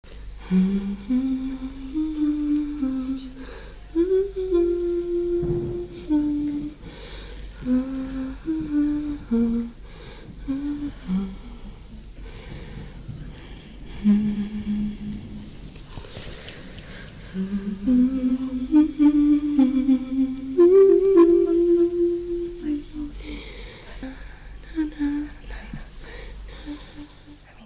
I mm-hmm. mean,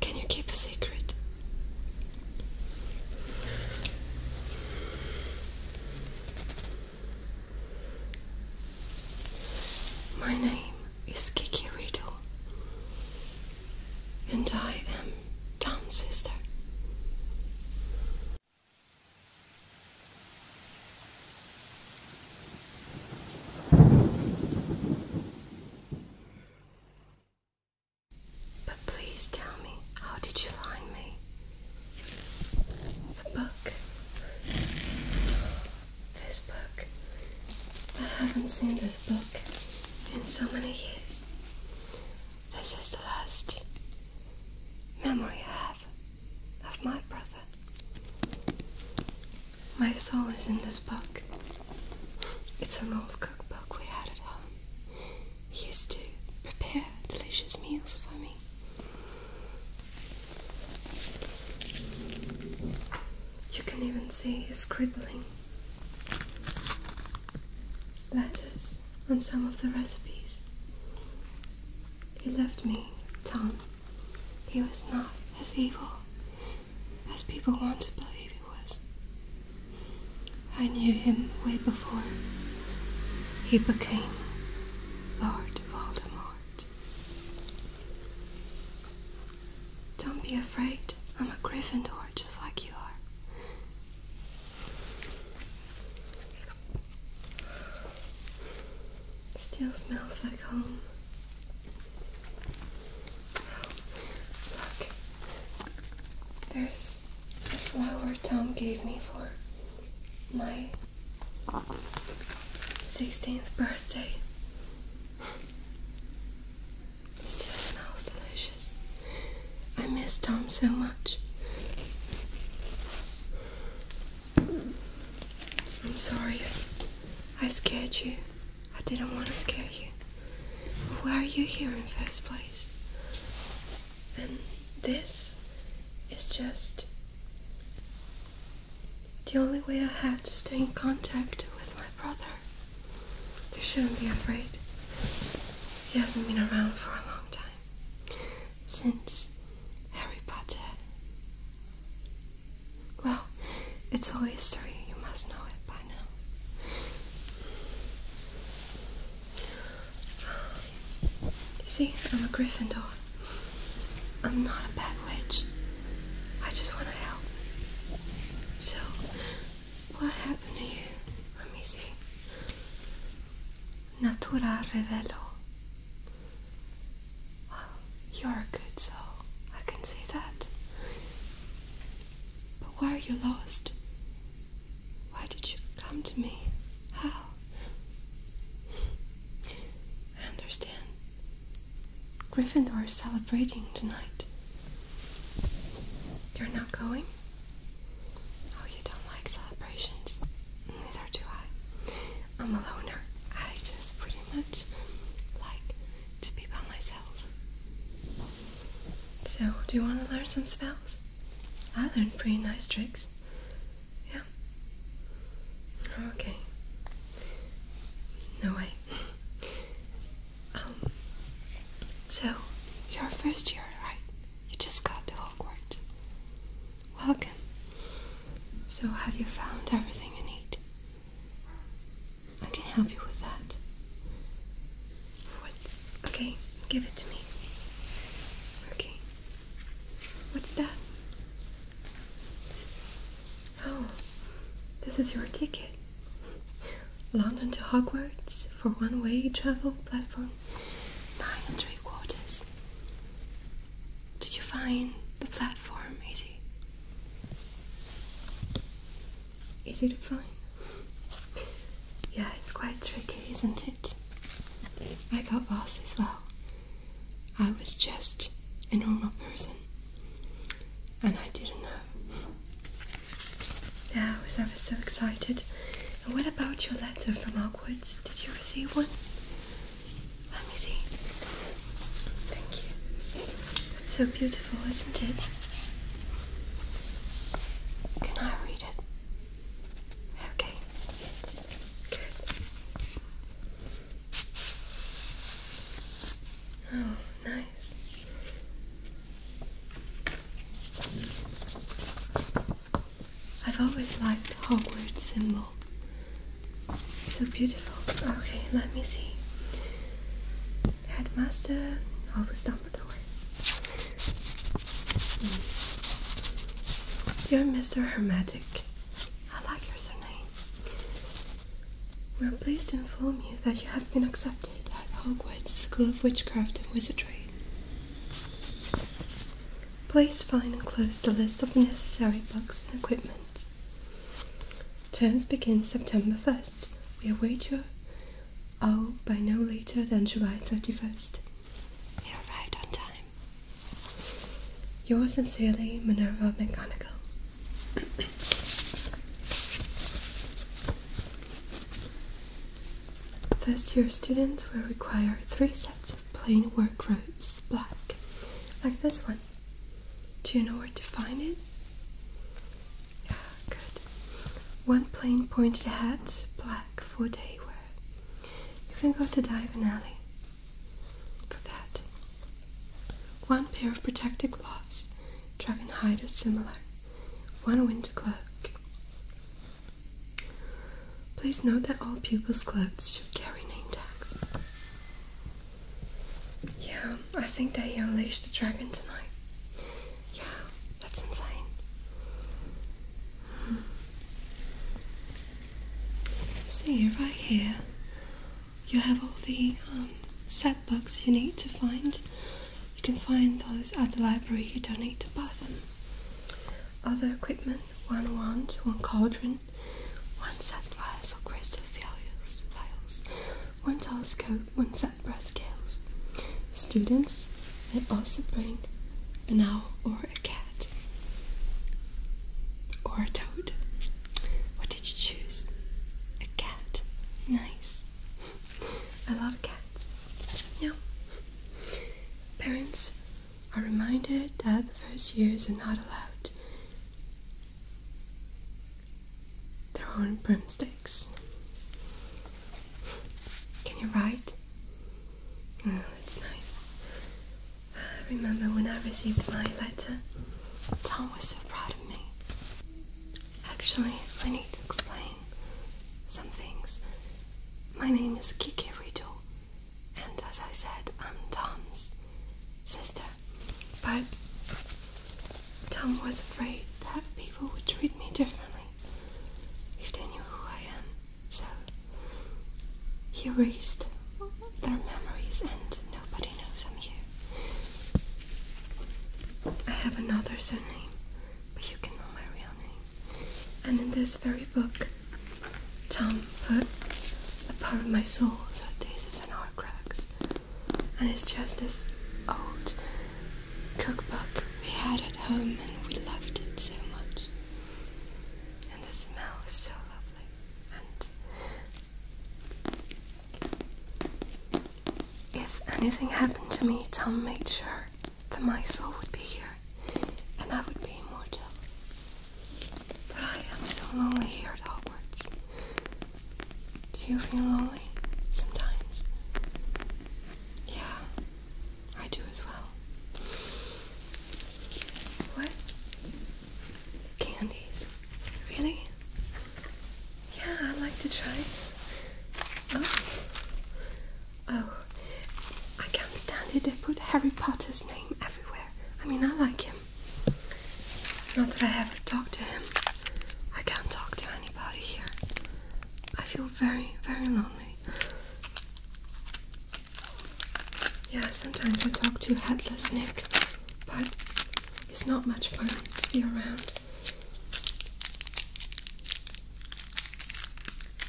Can you keep a secret? My name is Kiki Riddle, and I am Tom's sister. But please tell me, how did you find me? The book. This book. I haven't seen this book in so many years. This is the last memory I have of my brother. My soul is in this book. It's an old cookbook we had at home. He used to prepare delicious meals for me. You can even see his scribbling letters on some of the recipes. He left me, Tom. He was not as evil as people want to believe it was. I knew him way before he became Lord Voldemort. Don't be afraid. I'm a Gryffindor just like you are. Still smells like home. Look. There's the flower Tom gave me for my 16th birthday. It still smells delicious. I miss Tom so much. I'm sorry I scared you. I didn't want to scare you. Why are you here in the first place? And this is just the only way I have to stay in contact with my brother. You shouldn't be afraid. He hasn't been around for a long time. Since Harry Potter. Well, it's all history, you must know it by you see, I'm a Gryffindor. I'm not a bad witch. I just want to help. So, what happened to you? Let me see. Natura Revelo. you're a good soul. I can see that. But why are you lost? Why did you come to me? How? I understand. Gryffindor is celebrating tonight. You're not going? Oh, you don't like celebrations. Neither do I. I'm a loner. I just pretty much like to be by myself. So, do you want to learn some spells? I learned pretty nice tricks. Yeah? Okay. No way. Um, so, you're first year, right? You just got to Hogwarts. Welcome. So, have you found everything you need? I can help you with that. What's. Okay, give it to me. Okay. What's that? Oh, this is your ticket. London to Hogwarts for one way travel platform. Nine and three quarters. Did you find the platform easy? easy to find. Yeah, it's quite tricky, isn't it? I got lost as well. I was just a normal person, and I didn't know. Yeah, I was ever so excited. And what about your letter from Hogwarts? Did you receive one? Let me see. Thank you. It's so beautiful, isn't it? Can I read it? Okay. Good. Oh, nice. I've always liked Hogwarts symbol. It's so beautiful. Okay, let me see. Headmaster I've Augustus the mm. You're Mr. Hermetic. I like your surname. We're pleased to inform you that you have been accepted at Hogwarts School of Witchcraft and Wizardry. Please find and close the list of the necessary books and equipment. Terms begin September 1st. We await your Oh, by no later than July 31st. We arrived on time. Yours sincerely, Minerva McGonagall. First year students will require three sets of plain work robes, black, like this one. Do you know where to find it? Yeah, good. One plain pointed hat, black for day wear. You can go to Diagon Alley for that. One pair of protective gloves, dragon hide or similar. One winter cloak. Please note that all pupils' clothes should carry name tags. Yeah, I think they unleashed the dragon tonight. Yeah, that's insane. See, right here, you have all the um, set books you need to find. You can find those at the library, you don't need to buy them. Other equipment, one wand, one cauldron, one set glass or crystal vials, vials one tall telescope, one set brass scales. Students may also bring an owl or a cat or a toad. What did you choose? A cat. Nice. I love cats. Yeah. Parents are reminded that the first years are not allowed their own broomsticks. Can you write? that's nice. I remember when I received my letter, Tom was so proud of me. Actually, I need to explain some things. My name is Kiki Riddle, and as I said, I'm Tom's sister. But Tom was afraid that people would treat me differently if they knew who I am, so he erased their memories and nobody knows I'm here. I have another surname, but you can know my real name. And in this very book, Tom put a part of my soul, so this is an art cracks and it's just this old cookbook we had at home and we loved it so much. And the smell is so lovely. And if anything happened to me, Tom made sure that my soul would be here and I would be immortal. But I am so lonely here at Hogwarts. Do you feel lonely sometimes? Yeah, I do as well. What? Candies? Really? Yeah, I'd like to try. Oh. Oh. I can't stand it. They put Harry Potter's name everywhere. I mean, I like him. Not that I ever talked to him. I can't talk to anybody here. I feel very, very lonely. Yeah, sometimes I talk to Headless Nick, but it's not much fun to be around.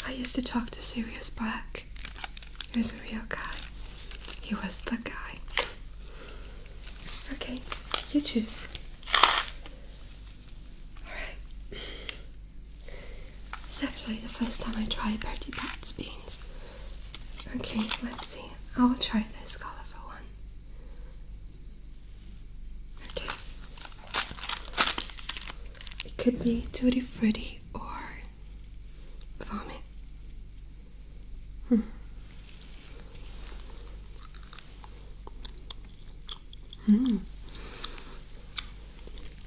I used to talk to Serious Black. He was a real guy. He was the guy. Okay, you choose. Alright. It's actually the first time I try Bertie Pat's beans. Okay, let's see. I'll try this colourful one. Okay. It could be tutti frutti or vomit. Hmm. Hmm.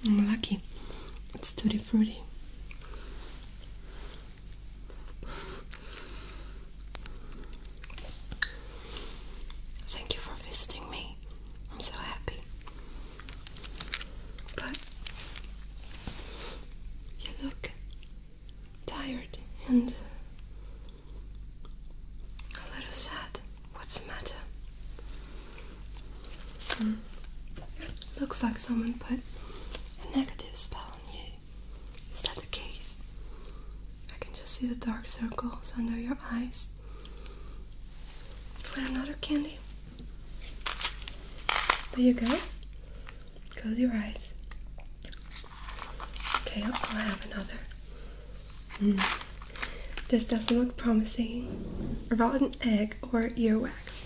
I'm lucky. It's tutti frutti. Thank you for visiting me. I'm so happy. But you look tired and a little sad. What's the matter? Hmm. Looks like someone put a negative spell on you. Is that the case? I can just see the dark circles under your eyes. Want another candy? There you go. Close your eyes. Okay, oh, I'll have another. Hmm. This doesn't look promising. A rotten egg or earwax.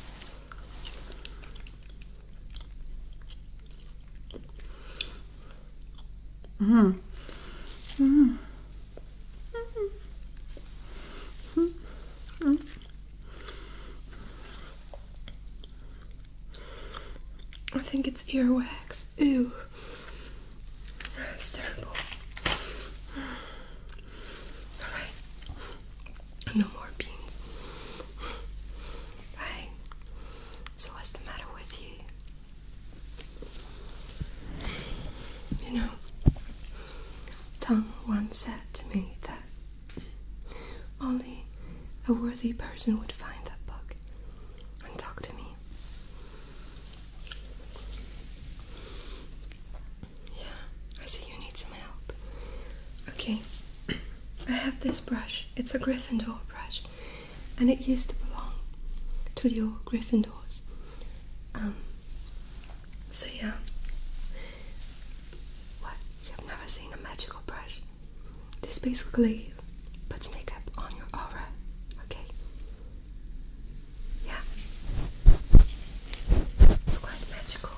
Mm. Mm. Mm. Mm. I think it's earwax. Ew. That's terrible. Alright. No more beans. Right. So what's the matter with you? You know, Tom once said to me that only a worthy person would find that book and talk to me. Yeah, I see you need some help. Okay, I have this brush. It's a Gryffindor brush, and it used to belong to your Gryffindors. Um, so yeah. What? You've never seen a magical brush? This basically puts makeup on your aura, okay? Yeah. It's quite magical.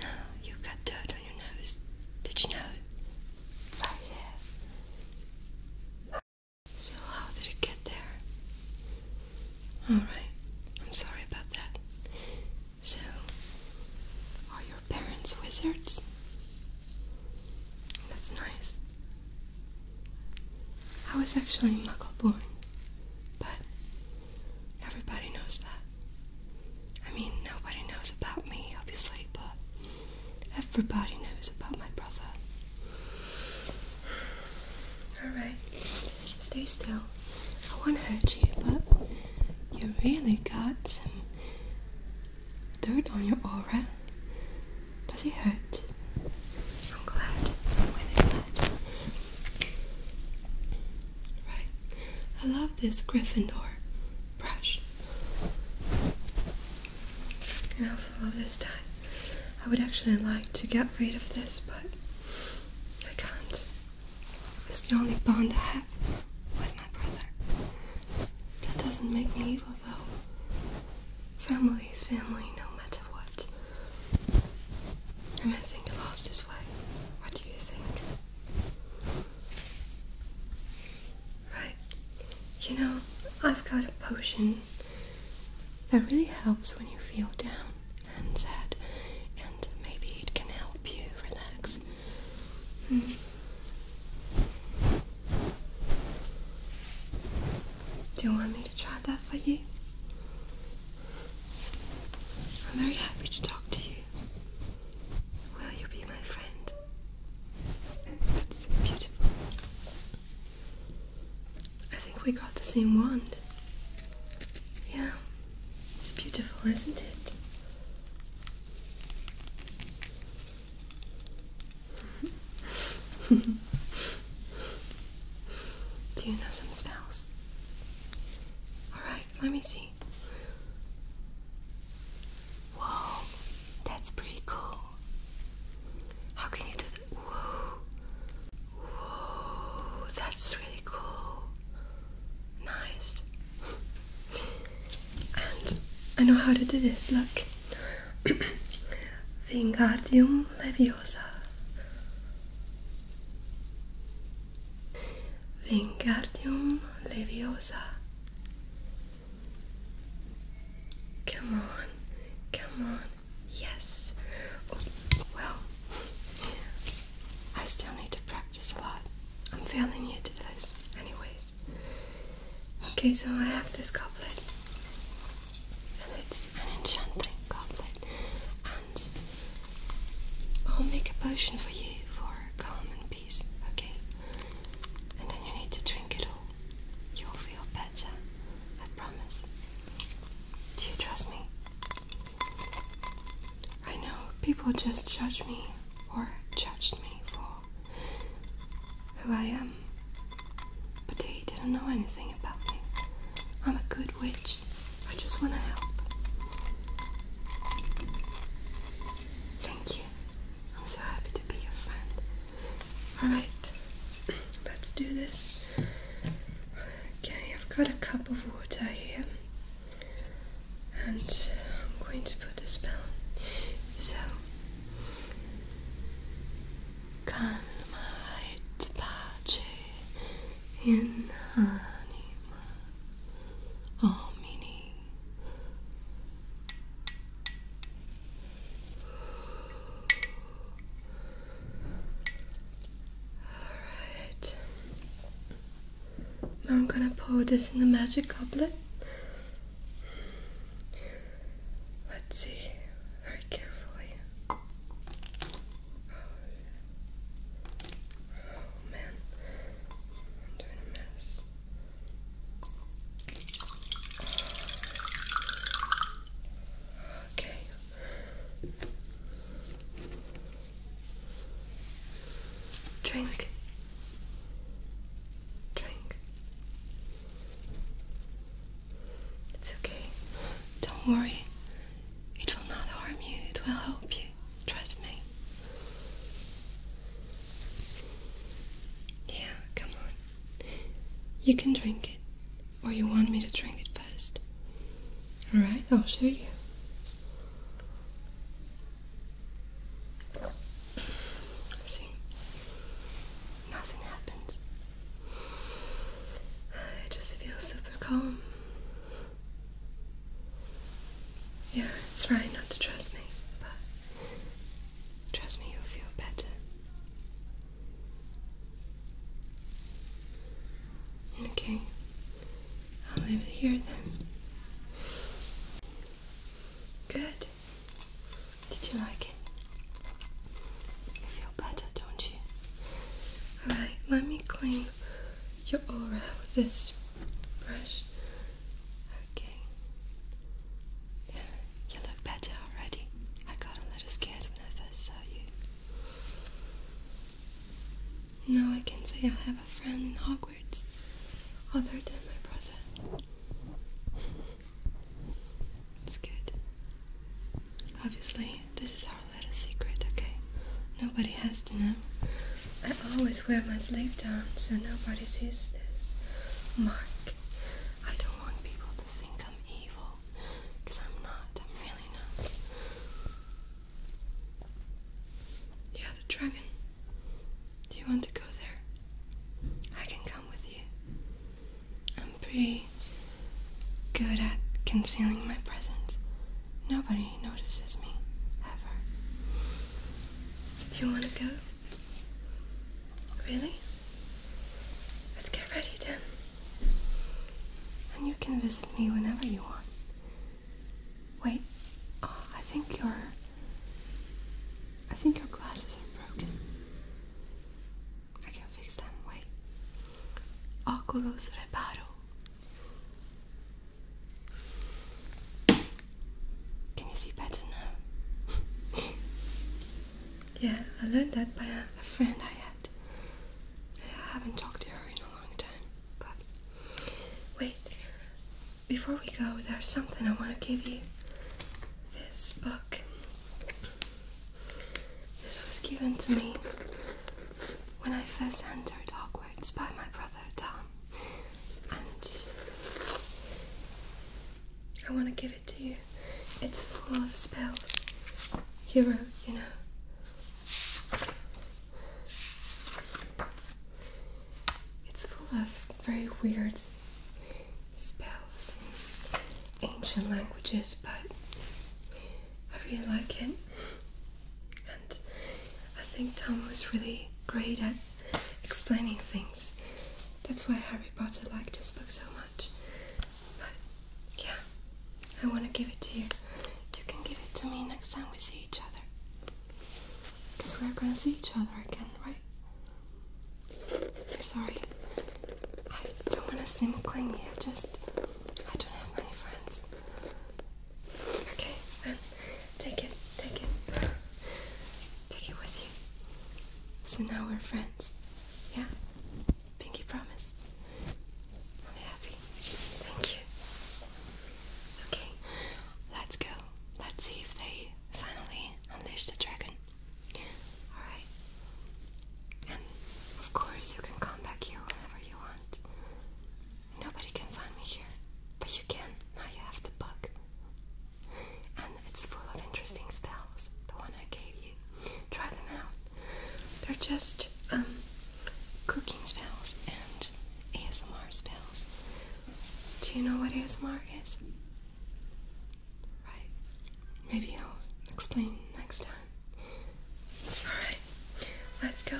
Now, you got dirt on your nose. Did you know? Right here. So, how did it get there? Alright, I'm sorry about that. So, are your parents wizards? That's nice. I was actually Muggleborn, but everybody knows that. I mean, nobody knows about me, obviously, but everybody knows about my brother. Alright, stay still. I won't hurt you, but you really got some dirt on your aura. Does it hurt? I'm glad Right. I love this Gryffindor brush. I also love this tie. I would actually like to get rid of this, but I can't. It's the only bond I have with my brother. That doesn't make me evil though. Family's family no matter what. And I think he lost his way. What do you think? Right. You know, I've got a potion that really helps when you feel down and sad, and maybe it can help you relax. Hmm. Do you want me to try that for you? I'm very happy to talk to you. Will you be my friend? That's beautiful. I think we got the same wand. Yeah, it's beautiful, isn't it? Do you know some spells? Alright, let me see. Whoa, that's pretty cool. How can you do that? Whoa, whoa, that's really cool. Nice. And I know how to do this, look. Vingardium Leviosa. Vingardium Leviosa. Come on, come on, yes. Oh, well, I still need to practice a lot. I'm failing you to this, anyways. Okay, so I have this goblet, and it's an enchanting goblet, and I'll make a potion for you for calm and peace, okay? And then you need to drink it all. You'll feel better, I promise. Do you trust me? I know people just judge me or judged me for who I am. But they didn't know anything about me. I'm a good witch. I just want to help. Thank you. I'm so happy to be your friend. Alright, let's do this. Okay, I've got a cup of water here. And I'm going to put this down. So, Kanma et pace in anima omini. Alright. Now I'm gonna pour this in the magic goblet Let's see very carefully. Oh, man, I'm doing a mess. Okay. Drink. Drink. It's okay. Don't worry. It will not harm you, it will help you. Trust me. Yeah, come on. You can drink it. Or you want me to drink it first. Alright, I'll show you. See? nothing happens. I just feel super calm. Yeah, it's right not to trust me, but trust me, you'll feel better. Okay, I'll leave it here then. Good. Did you like it? You feel better, don't you? Alright, let me clean your aura with this brush. Okay. you look better already. I got a little scared when I first saw you. Now I can say I have a friend in Hogwarts, other than my brother. It's good. Obviously, this is our little secret, okay? Nobody has to know. I always wear my sleeve down so nobody sees this. Mark, I don't want people to think I'm evil. Because I'm not. I'm really not. Yeah, the dragon. Do you want to go there? I can come with you. I'm pretty good at concealing my presence. Nobody notices me, ever. Do you want to go? Really? Let's get ready then. And you can visit me whenever you want. Wait, oh, I think you're I think your glasses are broken. I can fix them. Wait. Oculus Reparo. Can you see better now? yeah, I learned that by a friend I had. I haven't talked to her in a long time, but wait before we go, there's something I want to give you. This book. This was given to me when I first entered Hogwarts by my brother Tom. And I want to give it to you. It's full of spells he wrote, you know. It's full of very weird spells in ancient languages, but I really like it. And I think Tom was really great at explaining things. That's why Harry Potter liked his book so much. But yeah, I want to give it to you. You can give it to me next time we see each other. Because we're gonna see each other again, right? Sorry, I don't want to seem clingy. I just, I don't have many friends. Okay, then take it, take it, take it with you. So now we're friends. Yeah, pinky promise. I'm happy. Thank you. Okay, let's go. Let's see if they finally unleash the dragon. Alright. And of course, you can come back here whenever you want. Nobody can find me here, but you can. Now you have the book. And it's full of interesting spells, the one I gave you. Try them out. They're just um, cooking spells and ASMR spells. Do you know what ASMR is? Right. Maybe I'll explain next time. Alright, let's go.